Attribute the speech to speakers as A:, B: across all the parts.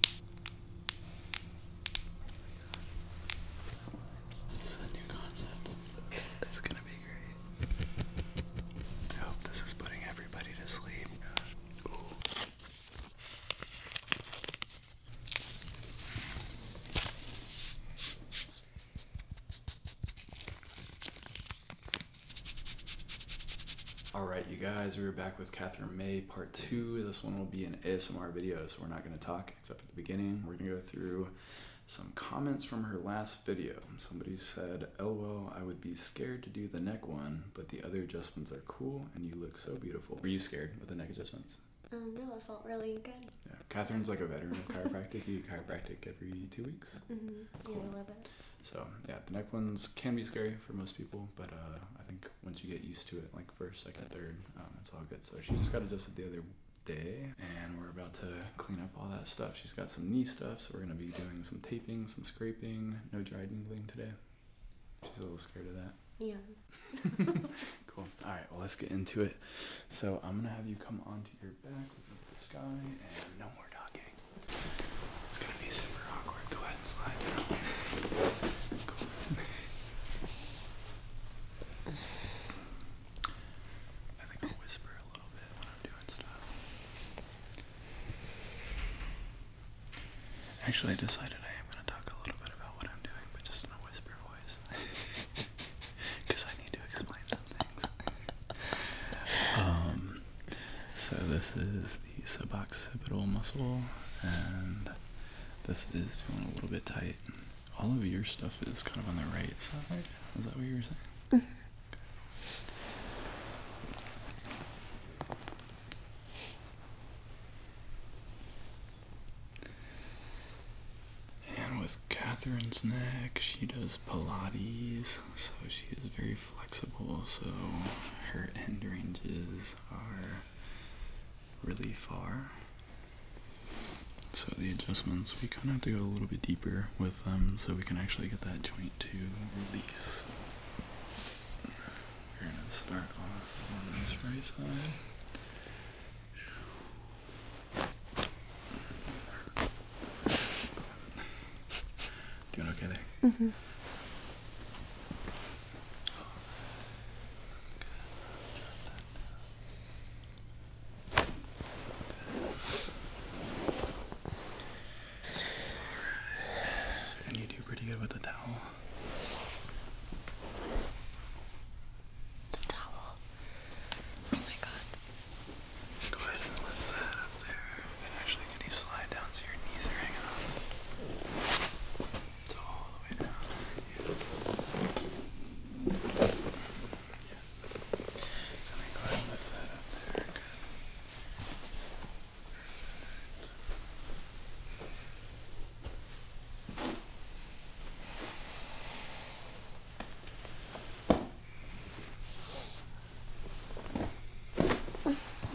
A: This a new concept. It's gonna be great. I hope this is putting everybody to sleep. All right, you guys, we are back with Catherine May part two. This one will be an ASMR video, so we're not going to talk except at the beginning. We're going to go through some comments from her last video. Somebody said, LOL, I would be scared to do the neck one, but the other adjustments are cool and you look so beautiful. Were you scared with the neck adjustments? Um, no, I felt really good. Yeah, Catherine's like a veteran of chiropractic. You chiropractic every two weeks. Mm-hmm. Cool. So yeah, the neck ones can be scary for most people, but uh, I think once you get used to it, like first, second, third. Um, it's all good. So she just got adjusted the other day and we're about to clean up all that stuff. She's got some knee stuff, so we're gonna be doing some taping, some scraping, no dry needling today. She's a little scared of that. Yeah. cool. All right, well, let's get into it. So I'm gonna have you come onto your back, look at the sky, and no more talking. It's gonna be a Actually, I decided I am going to talk a little bit about what I'm doing, but just in a whisper voice. Because I need to explain some things. Um, so, this is the suboccipital muscle, and this is feeling a little bit tight. All of your stuff is kind of on the right side. Is that what you were saying? And with Catherine's neck, she does Pilates, so she is very flexible, so her end ranges are really far. So the adjustments, we kind of have to go a little bit deeper with them so we can actually get that joint to release. We're going to start off on this right side. Doing okay there? Mm-hmm. And you do pretty good with the towel. The towel. Oh my god. Go ahead and lift that up there. actually, can you slide down so your knees are hanging off? It's all the way down. Yeah. Yeah. Let me go ahead and lift that up there.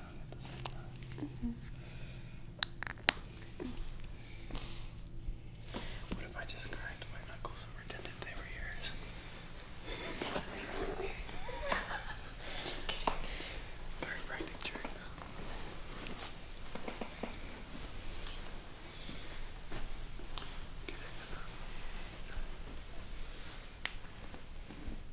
A: Mm-hmm. What if I just cracked my knuckles and pretended they were yours? just kidding. Chiropractic tricks. Okay.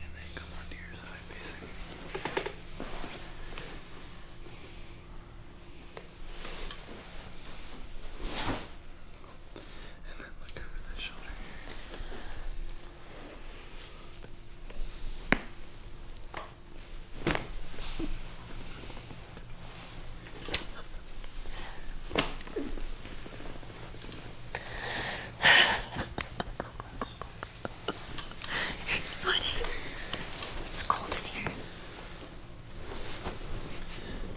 A: And then come on to your side facing. And then look over the shoulder. Here. You're sweating. It's cold in here.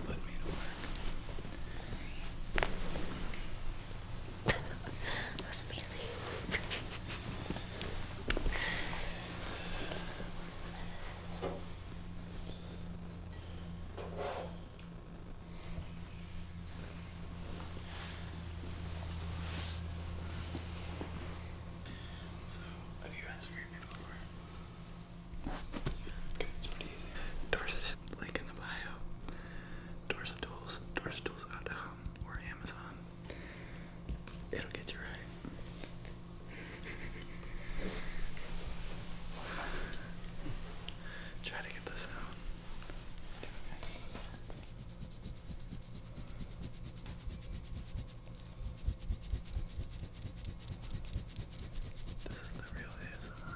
A: Put me to work. Sorry. that was amazing. Have you had scary people over? Okay, it's pretty easy. Dorset link in the bio. Dorset Tools, DorsetTools.com or Amazon. It'll get you right. Try to get this out. This is the real ASMR.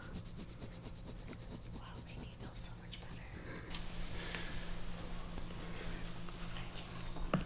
A: Wow, Rainy feels so much better. I can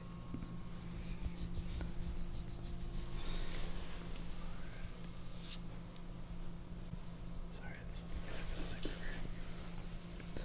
A: Sorry, this isn't gonna feel super weird. What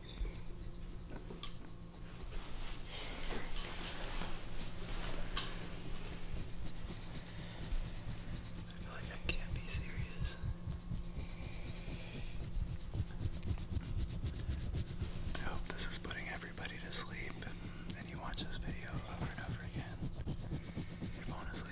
A: I feel like I can't be serious. I hope this is putting everybody to sleep and you watch this video over and over again. Your phone asleep.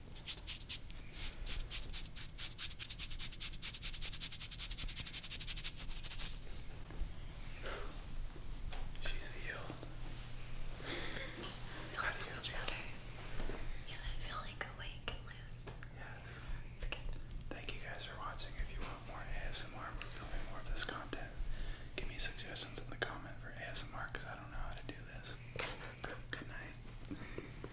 A: She's healed. Feels so better. Yeah, I feel like awake and loose. Yes. It's good. Thank you guys for watching. If you want more ASMR, we're filming more of this content. Give me suggestions in the comment for ASMR because I don't know how to do this. Good night.